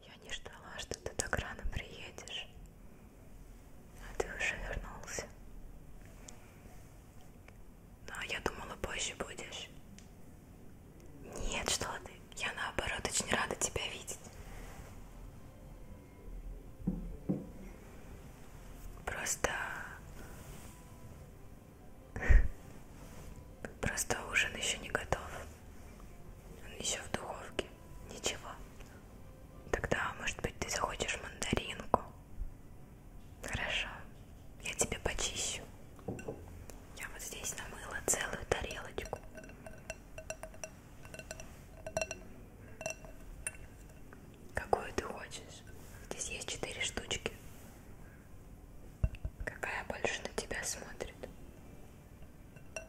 Я не ждала, что ты так рано приедешь, а ты уже вернулся. Но ну, а я думала, позже будешь. Нет, что ты? Я наоборот очень рада тебя видеть. Просто Просто ужин еще не готов. Он еще в духовке. Ничего. Тогда, может быть, ты захочешь мандаринку? Хорошо. Я тебе почищу. Я вот здесь намыла целую тарелочку. Какую ты хочешь? Здесь есть четыре штучки. Какая больше на тебя смотрит? Вот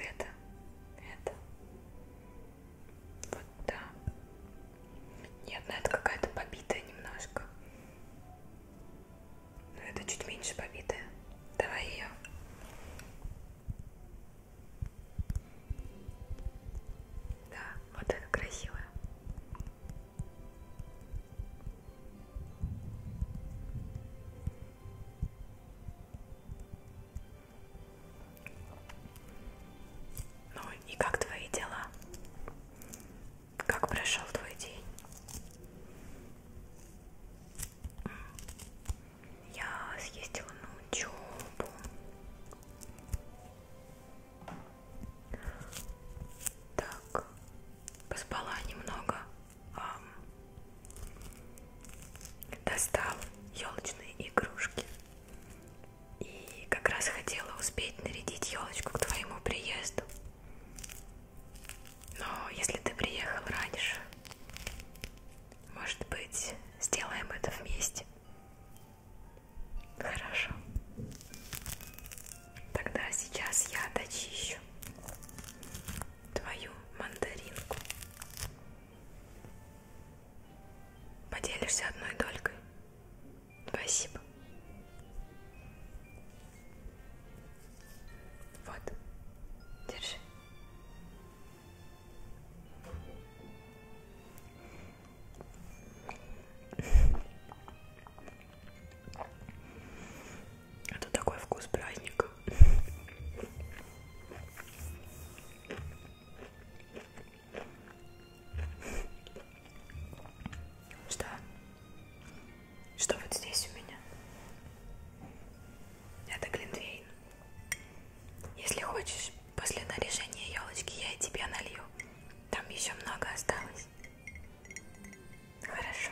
это, это, вот да. Нет, ну это какая-то побитая немножко. Но ну, это чуть меньше побитая. Давай ее. Да, вот это красивая. Ну и как твои дела? Как прошел твой день? Я съездила на учебу. Так, поспала немного. Достал елочные игрушки. И как раз хотела успеть нарядить елочку к твоему приезду. Но если ты приехал раньше, может быть, сделаем это вместе. Хорошо. Тогда сейчас я дочищу твою мандаринку. Поделишься одной долькой. Спасибо. Вот. Держи. Это такой вкус праздника. Что? Что вот здесь у меня? Это глинтвейн. Если хочешь, после наряжения елочки я и тебе налью. Там еще много осталось. Хорошо.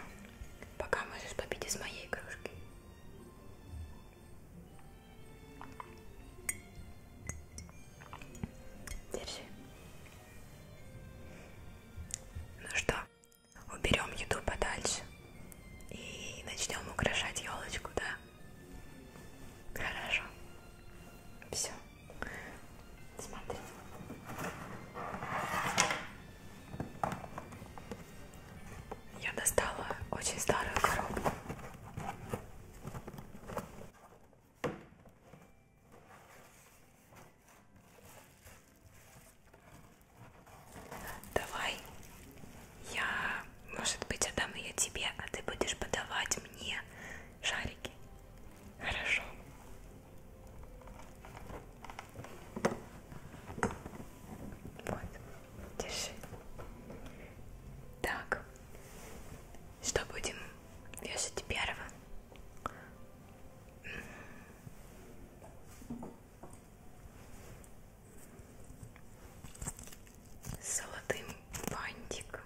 Пока можешь попить из моей кружки. Держи. Ну что, уберем еду подальше и начнем украшать елочку, да? Хорошо. Все. Смотри. Я достала очень старую коробку. Давай, я, может быть, отдам ее тебе, а ты будешь подавать мне шарики. Хорошо. Вот, держи. Так, что будем вешать первым? С золотым бантиком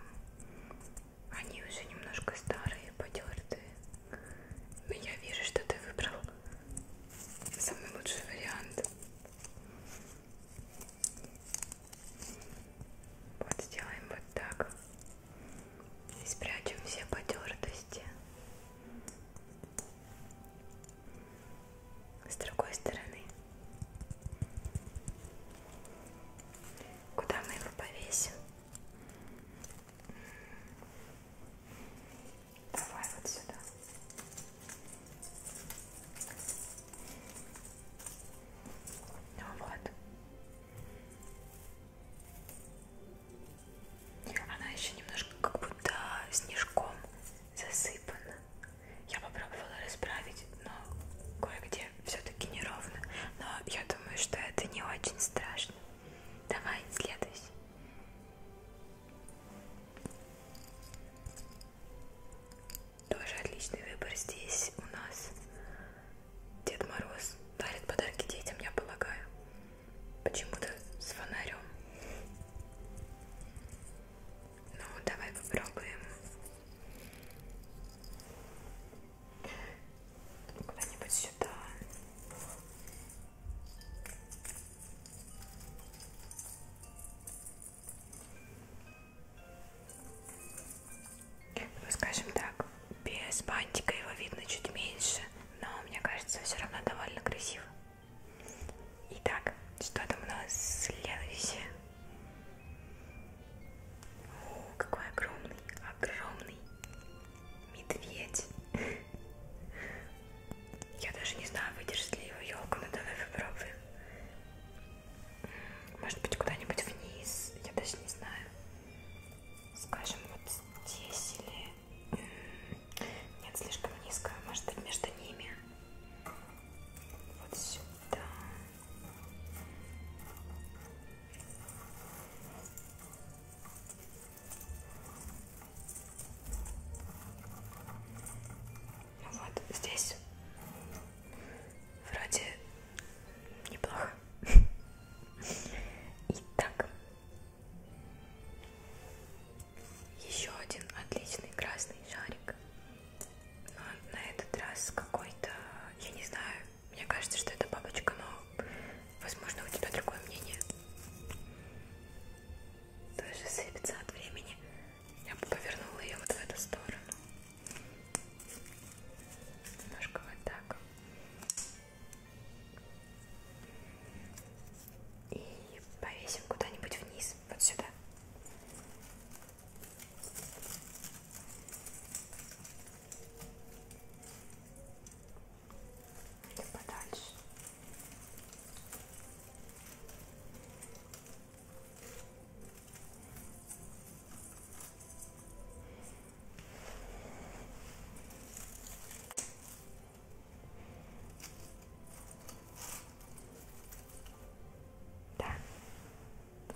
они уже немножко старые, потертые. Но я вижу, что ты выбрал самый лучший вариант. Вот сделаем вот так. И спрячем все потертости. С другой стороны. Куда мы его повесим? Давай вот сюда. Ну вот. Она еще немножко как будто снежком засыпана. Я попробовала расправить, но кое-где все-таки неровно. Но я думаю, что это не очень страшно. Давай, следующий. Тоже отличный выбор здесь у нас. Дед Мороз дарит подарки детям, я полагаю. Почему-то с фонарем. Ну, давай попробуем куда-нибудь сюда. Ну, скажем так, без бантика его видно чуть меньше, но мне кажется, все равно довольно красиво. Итак, что там у нас следующее? О, какой огромный, огромный медведь. Я даже не знаю, выдержит ли его елка, но давай попробуем. Может быть, куда-нибудь вниз, я даже не знаю. Скажем, вот здесь или... Нет, слишком низко, может быть, между ними. Вот сюда. Вот здесь вроде неплохо. Итак, еще один отличный красный шарик. Но на этот раз какой-то, я не знаю, мне кажется, что это бабочка, но, возможно, у тебя другое мнение. Тоже сыпется от времени. Я бы повернула ее вот в эту сторону. Немножко вот так. И повесим куда-нибудь вниз, вот сюда. И подальше. Да,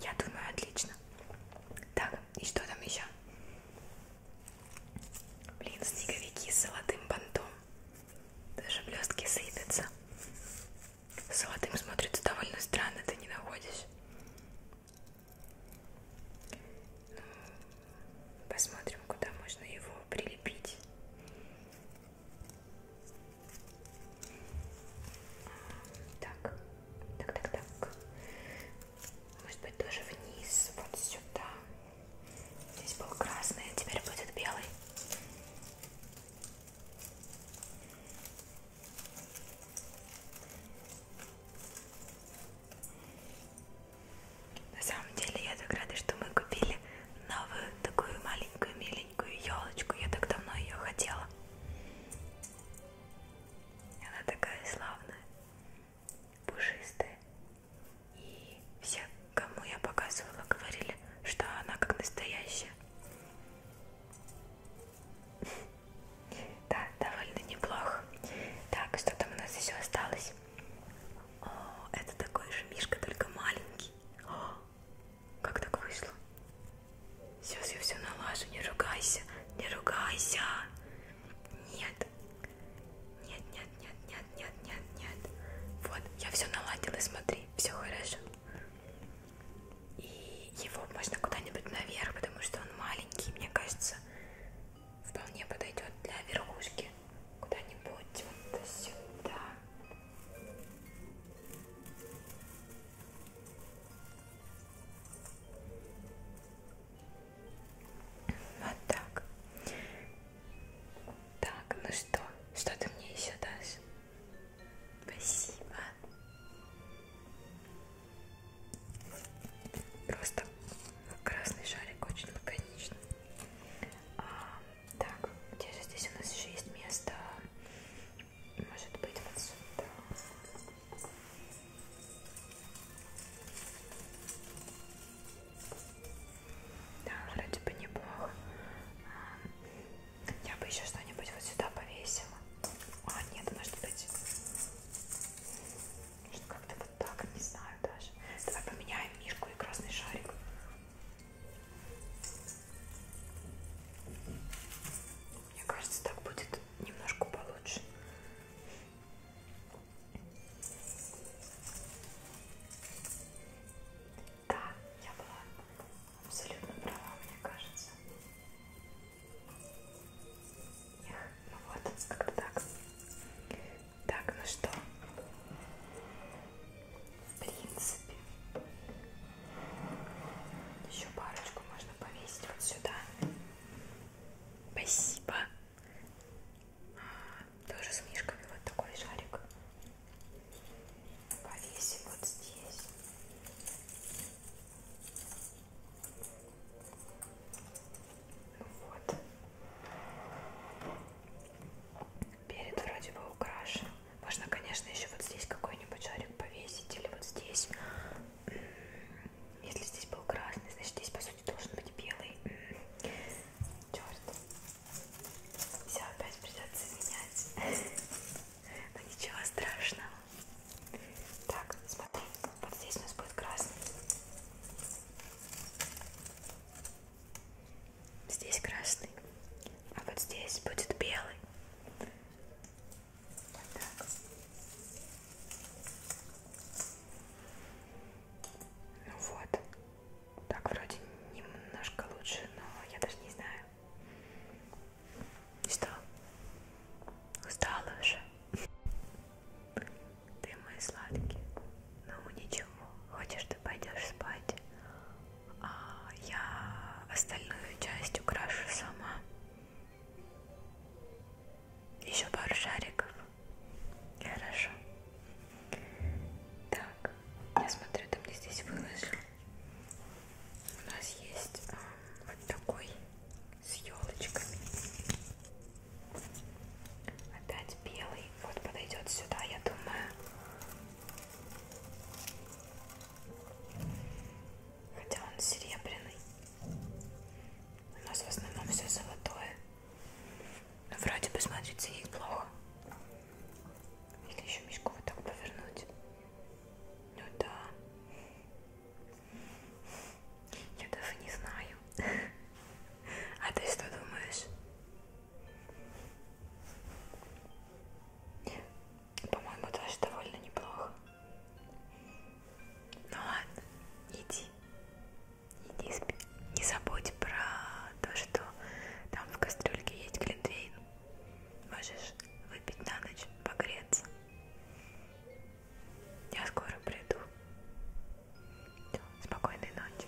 я думаю, отлично. Так, и что там еще? Блин, снеговики с золотым бантом. Даже блестки сыпятся. С золотым смотрится довольно странно, ты не находишь? Ну, посмотрим, куда можно его прилепить. Так, так, так, так. Может быть, тоже вниз, вот сюда. Здесь был красный, а теперь будет белый. На самом деле я так рада, что мы купили новую такую маленькую миленькую елочку. Я так давно ее хотела. Она такая славная пушистая. И все, кому я показывала, говорили, что она как настоящая. Да, довольно неплохо. Так, что там у нас еще осталось? О, это такой же мишка, только маленький. О, как так вышло? Сейчас я все налажу, не ругайся, не ругайся. Нет. Нет, нет, нет, нет, нет, нет, нет. Вот, я все наладила, смотри, все хорошо. И его можно куда-нибудь наверх, потому что он маленький, мне кажется, вполне подойдет для верхушки. Куда-нибудь вот сюда. Вот так. Так, ну что? Что ты мне еще дашь? Спасибо. Просто красный шарик очень лаконично. А, так, где же здесь у нас еще есть место? А, может быть вот сюда. Да, вроде бы неплохо. Я бы еще что-нибудь вот сюда повесила. А, нет, может быть. Может, как-то вот так, не знаю даже. Давай поменяем мишку и красный шарик. Мне кажется, так будет немножко получше. Да, я была абсолютно права, мне кажется. Эх, ну вот, как-то так. Так, ну что? В принципе, еще парочку можно повесить вот сюда. Спасибо. А, тоже с мишками вот такой шарик. Повесим вот здесь. Вот. Перед вроде бы украшен. Можно, конечно, еще вот здесь какой-нибудь шарик повесить или вот здесь. Если здесь был красный, значит здесь, по сути, должен быть белый. Черт. Все опять придется менять. Но ну, ничего страшного. Так, смотри, вот здесь у нас будет красный. Здесь красный. А вот здесь будет белый так. Ну вот. Так вроде немножко лучше, но я даже не знаю. Что? Устала уже. Ты мой сладкий. Ну ничего. Хочешь, ты пойдешь спать. А я остальную часть украшу сама. Еще пару шариков. Хорошо. Так, я смотрю, ты мне здесь выложил. У нас есть а, вот такой с елочками. Опять белый. Вот подойдет сюда, я думаю. Хотя он серебряный. У нас в основном все золотое. Но вроде бы смотрится ей плохо. Или еще мешку вот так повернуть. Ну да. Я даже не знаю. А ты что думаешь? По-моему, даже довольно неплохо. Ну ладно, иди. Иди спи. Не забудь про то, что там в кастрюльке есть глинтвейн. Можешь выпить на ночь, погреться. Я скоро приду. Все, спокойной ночи.